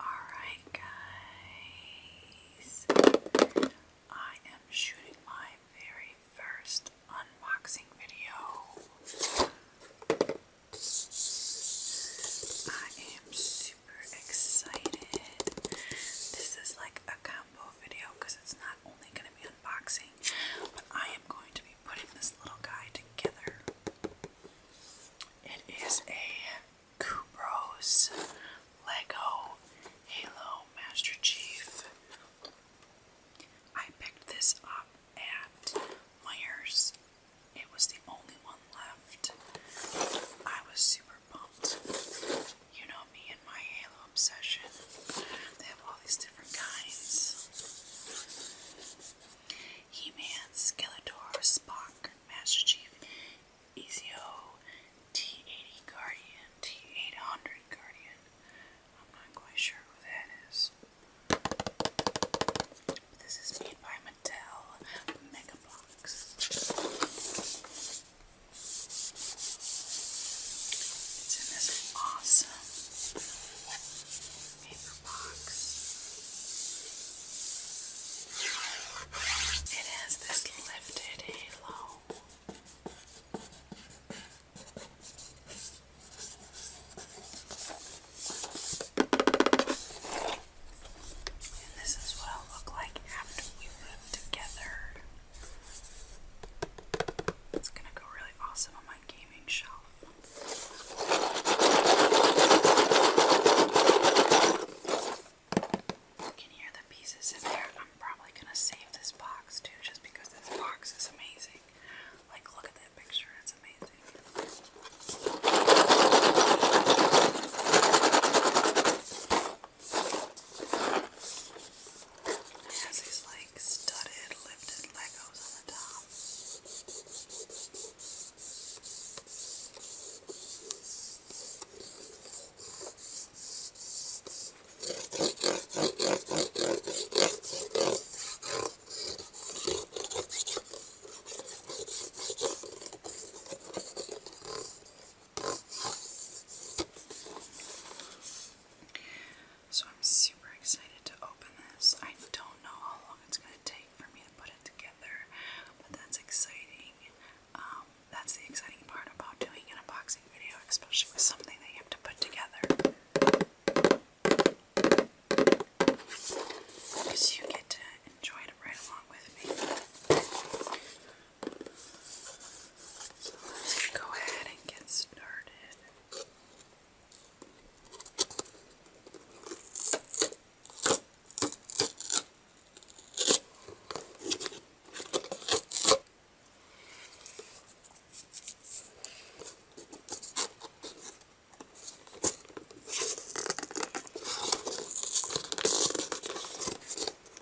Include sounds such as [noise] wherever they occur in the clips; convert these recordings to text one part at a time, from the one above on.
Alright, guys. I am shooting my very first unboxing video. I am super excited. This is like a video because it's not only going to be unboxing, but I am going to be putting this little guy together. It is a Kubros Lego Halo Master Chief. I picked this up at Myers. It was the only one left. I was super pumped. You know me and my halo obsession. They have all these different kinds. He-Man, Skeletor, Spock, Master Chief, Ezio, T-80 Guardian, T-800 Guardian. I'm not quite sure who that is. This is made by Mattel Mega Box. It's in this awesome paper box. It has this lifted halo. And this is what it'll look like after we live together. It's gonna go really awesome on my gaming shelf. You can hear the pieces in there. I'm probably gonna save this box too, just because this box is amazing. Like, look at that picture, it's amazing. It has these like studded, lifted Legos on the top. So I'm super excited to open this. I don't know how long it's going to take for me to put it together, but that's exciting. Um, that's the exciting part about doing an unboxing video, especially with something that you have to put together. Because you get to enjoy it right along with me let's go ahead and get started.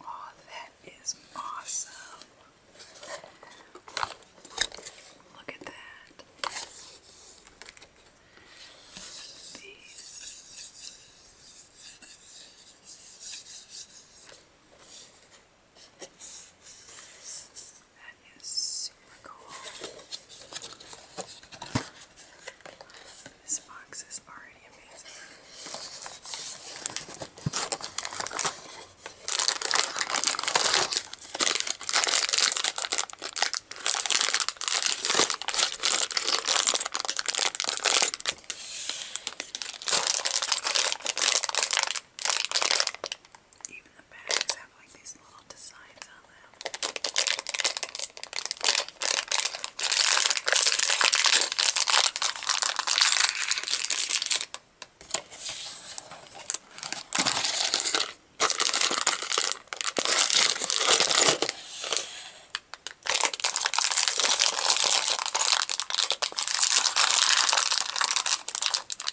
Oh, that is awesome. Look at that. These. That is super cool. This box is already amazing. Even the bags have like these little designs on them.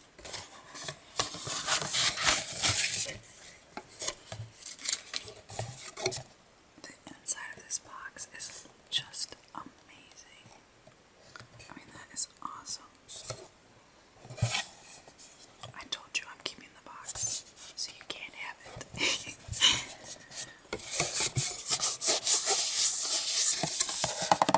The inside of this box is just amazing. I mean, that is awesome. I told you I'm keeping the box, so you can't have it. [laughs]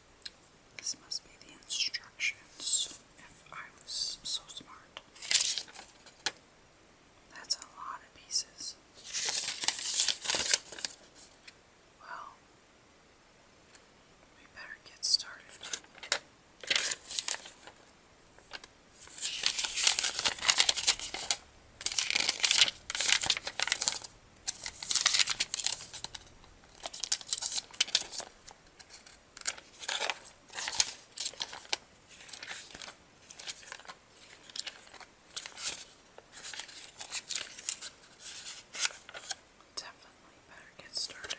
This must be the instructions if I was so smart. That's a lot of pieces. Well, we better get started. Definitely better get started.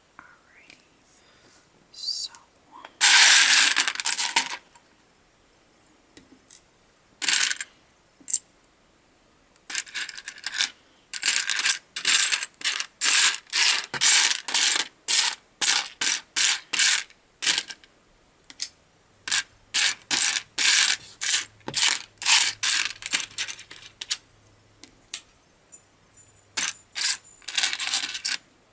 Alrighty. So Okay.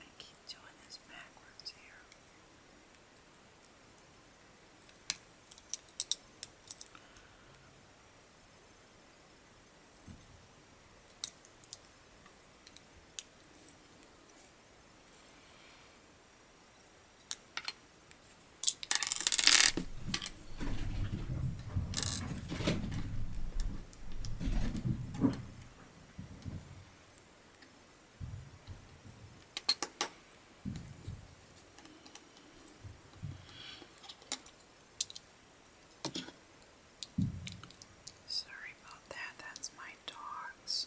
I keep doing this backwards here. Sorry about that, that's my dogs.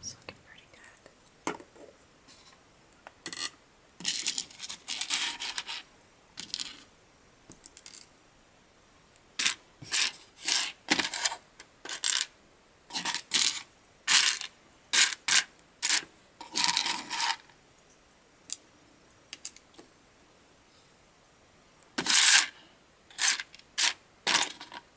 It's looking pretty good.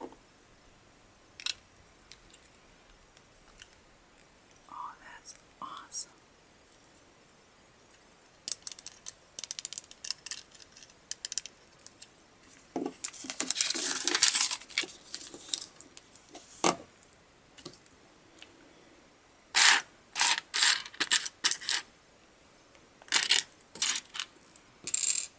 Oh, that's awesome.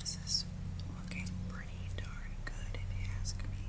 This is looking pretty darn good, if you ask me.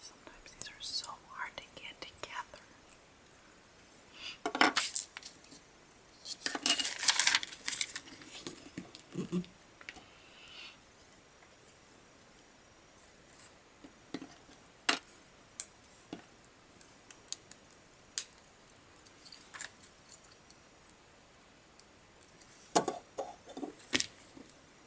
Sometimes these are so hard to get together.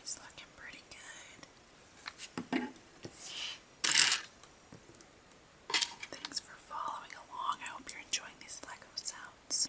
It's looking pretty good. Thanks for following along. I hope you're enjoying these Lego sounds.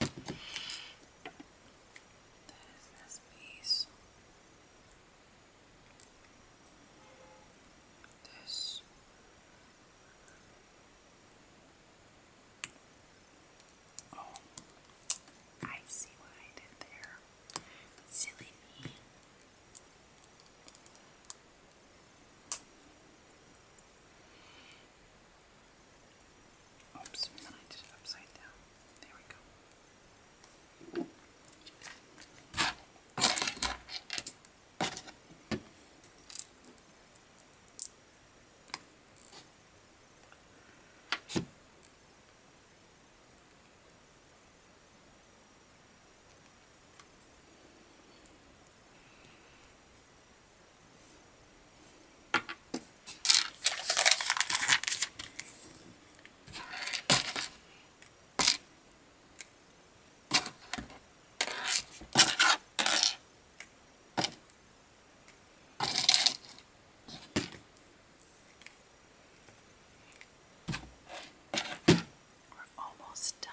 That is this piece. This. Oh, I see what I did there. Silly me. Oops, and I did it upside down. There we go. We're almost done.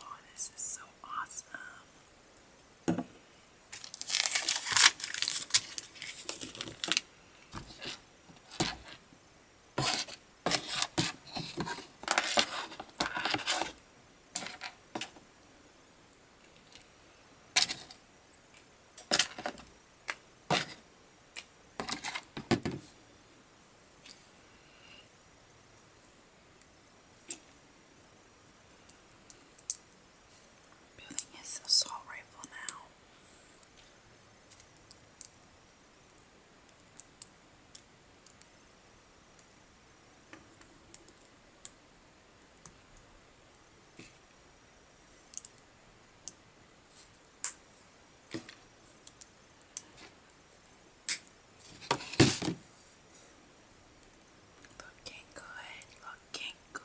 Oh, this is so awesome. Building his assault rifle now. Looking good, looking good.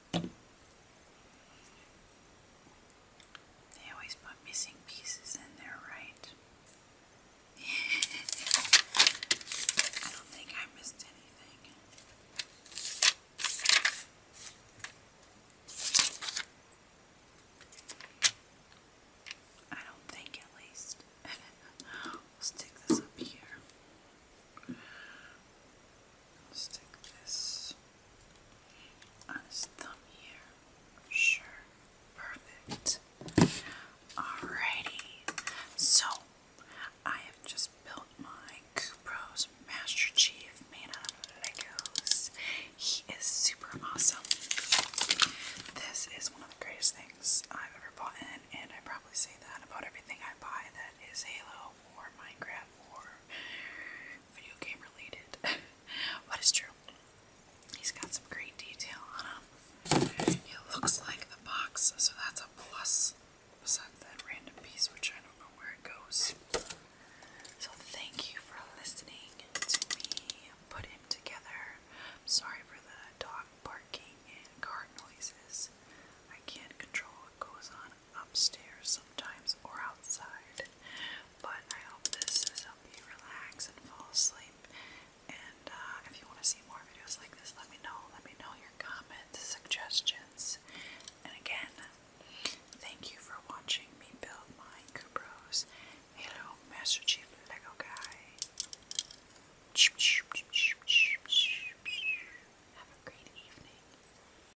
They always put missing pieces in there, right? [laughs] I don't think I missed anything. I don't think, at least. [laughs] we'll stick this up here. Stick this on his thumb here. Sure. Perfect. Alrighty. So, I have just built my Kupro's Master Chief made of Legos. He is super awesome. This is one of the greatest things I've ever bought and I probably say that about everything I buy that is Halo or Minecraft or video game related, [laughs] but true. He's got some great detail on him. It looks like the box, so that's a plus. Besides that random piece, which I don't know where it goes. So thank you for listening to me put him together. sorry for the dog barking and car noises. I can't control what goes on upstairs sometimes or outside. But I hope this has helped you relax and fall asleep. And uh, if you want to see more videos like this, let me know. Let me know your comments, suggestions. And again, thank you for watching me build my Kubros Hello Master Chief Lego Guy. Have a great evening.